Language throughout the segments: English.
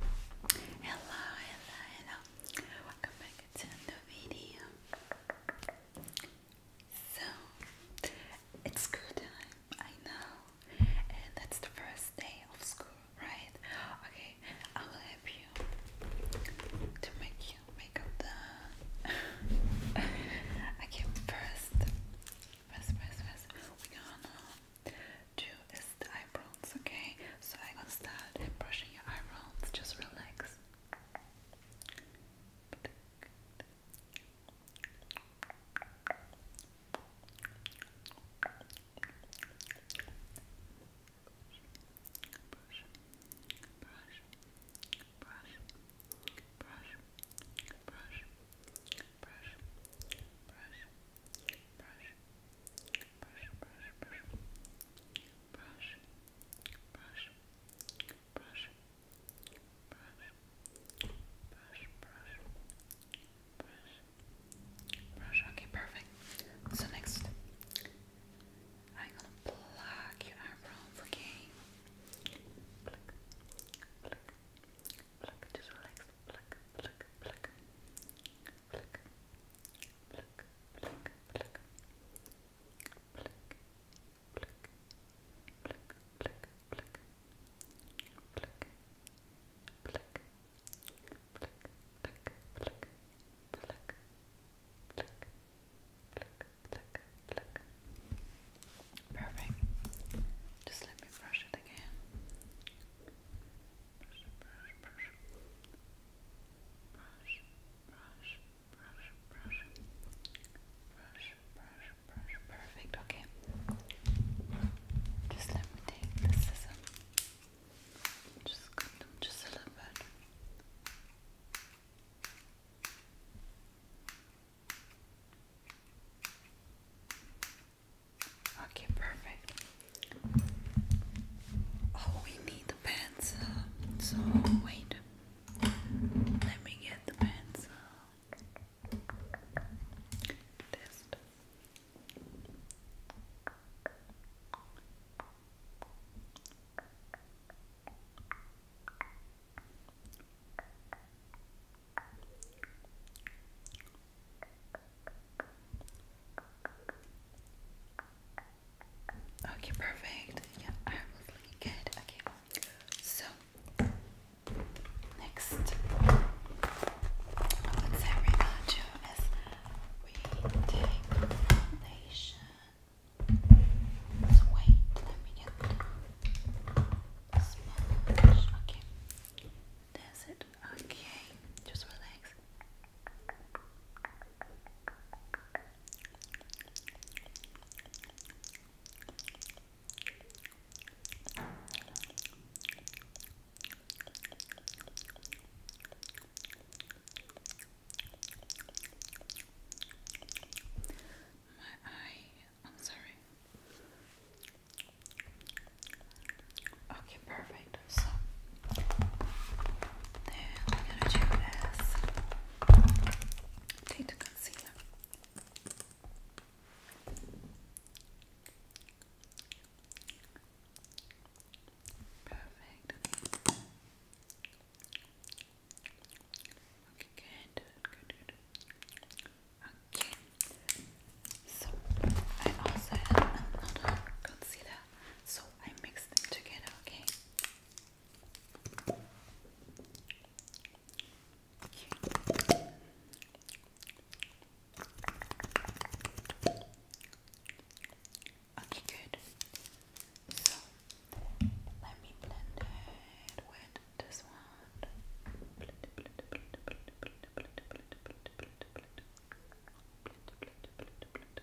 Hello, hello, hello. Welcome back to another video. So, it's school time, I know. And that's the first day of school, right? Okay, I will help you to make you make up the. okay, first, first, first, first, do is the eyebrows, okay? So I'm gonna start brushing your eyebrows, just relax brush, brush, brush, brush, brush, brush, brush, brush, brush, brush, brush. Okay, perfect. So next, I'm gonna pluck your eyebrows. Okay, pluck, pluck, pluck. Just relax. pluck, pluck, pluck pluck, pluck, Perfect. Just let me brush it again brush, brush, perfect, okay, just let me take the scissor, just just a little bit. Okay, perfect. Oh, we need the pencil. So, wait. Let me get the pencil. Test. Okay, perfect. Yeah, I'm looking good. Okay, so next, let's do is we take foundation. So let me get the sponge. Okay, that's it. Okay, just relax. My eye, I'm sorry. Okay, perfect. I'm gonna do is take the concealer. Perfect. Okay, good, good. Okay. So I also have another concealer. So I mix them together, okay? okay. good. So let me blend it with this one. Blend, blend, blend, blend, blend, blend, blend, blend, blend, blend, blend, Okay, good, perfect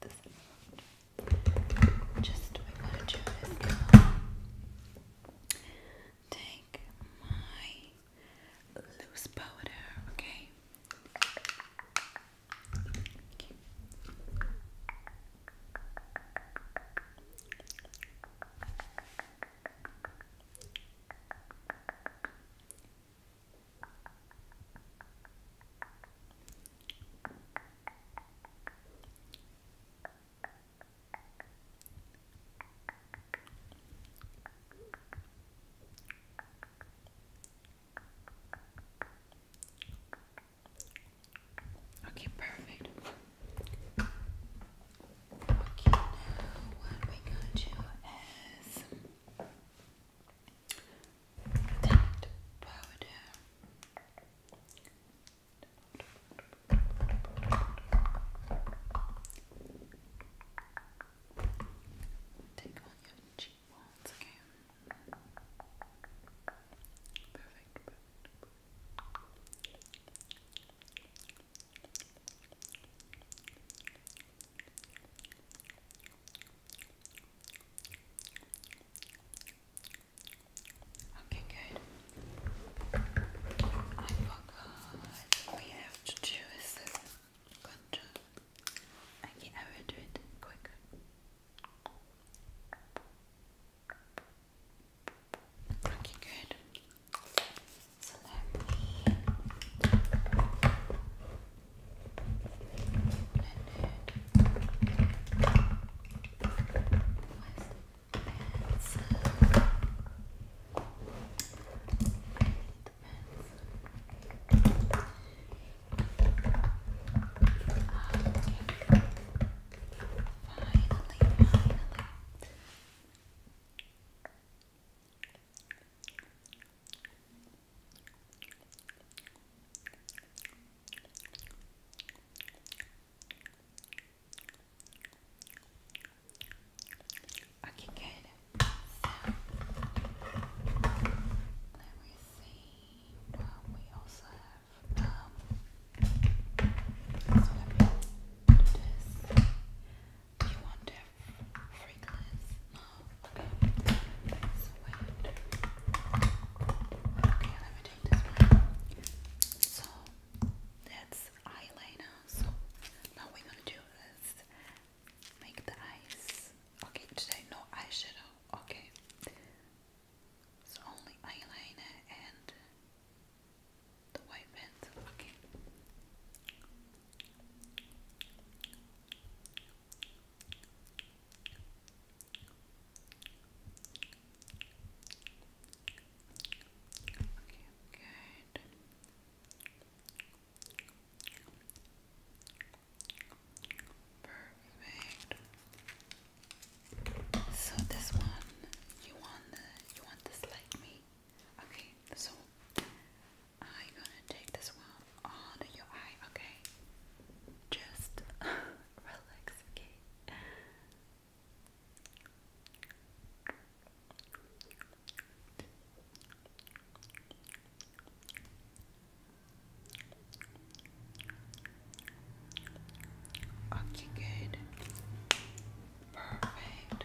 this amount. Just we want to take my loose powder, okay. Okay, perfect. Okay, now what we gonna do is that powder. Take on your cheekbones again. perfect. Okay, good. I forgot we have to do this contour. Okay, I will do it quick. Okay, good pencil. I need the pencil. Okay. Finally, finally. Okay, good. So let me see. Well, we also have um so let me do this. You want to Okay. So that's eyeliner. now we're gonna do is make the eyes. Okay, today no eyeshadow. Okay. So only eyeliner and the white pencil. Okay good. Perfect. So this one, you want you want this like me? Okay, so I'm gonna take this one under your eye, okay? Just relax, okay? Okay, good. Perfect.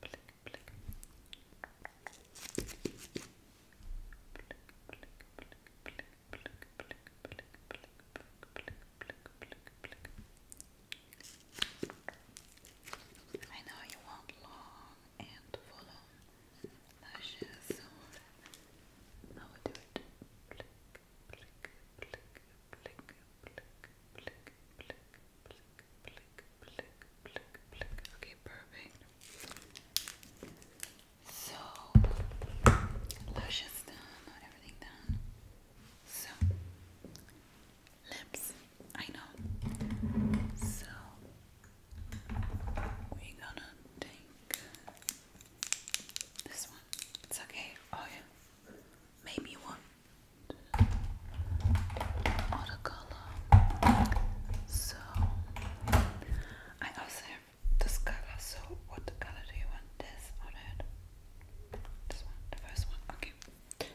Blink, I know you want long and full lashes, so I will do it. Blink, blink, blink, Okay, perfect. So, lashes done, everything done. So, lips. I know. So, we gonna take this one. It's okay. Oh, yeah. Maybe one watercolor. So I also have this color. So what color do you want? This on that? This one, the first one. Okay. We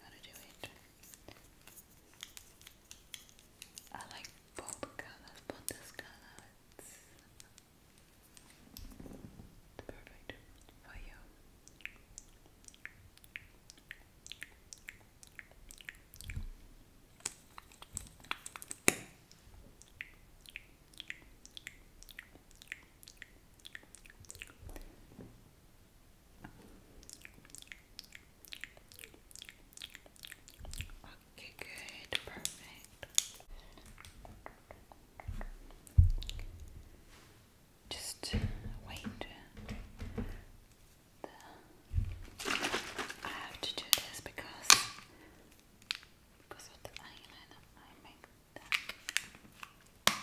gotta do it. I like both colors, but this color it's perfect for you. Okay, good, perfect just wait. I have to do this because because of the eyeliner I make that.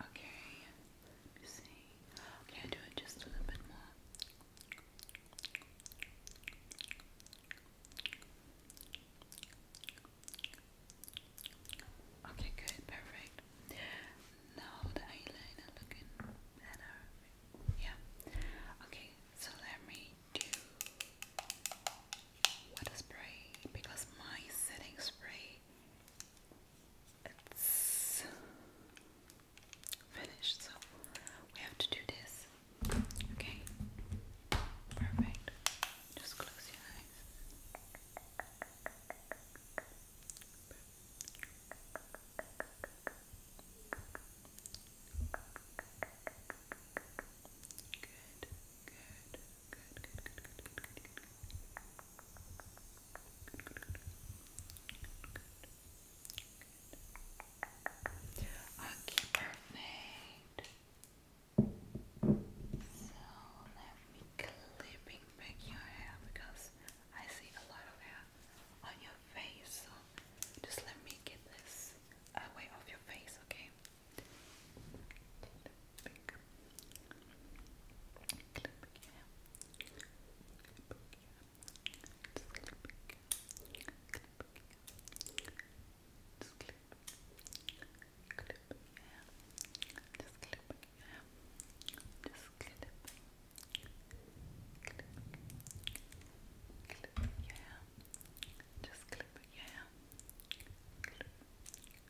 Okay, let me see. do it just a little bit more. Okay, good, perfect. Now the eyeliner looking better. Yeah. Okay, so let me do what spray because my setting spray it's finished, so we have to do this. Okay, perfect. Just close your eyes. Good, good. Good, good, perfect. So let me clipping back your hair because I see a lot of hair on your face. So just let me get this away off your face, okay? Clip, clip, yeah. clip, yeah. yeah. just clip, clip, yeah. Just clip, yeah. Just clip, clip, yeah. Just clip, yeah.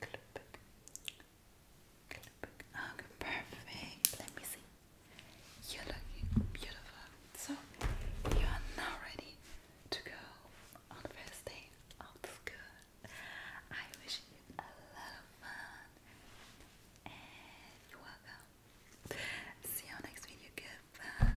Clip perfect. Let me see. You're looking beautiful. So you are now ready to go on the first day of school. I wish you a lot of fun. And you're welcome. See you next video. Goodbye.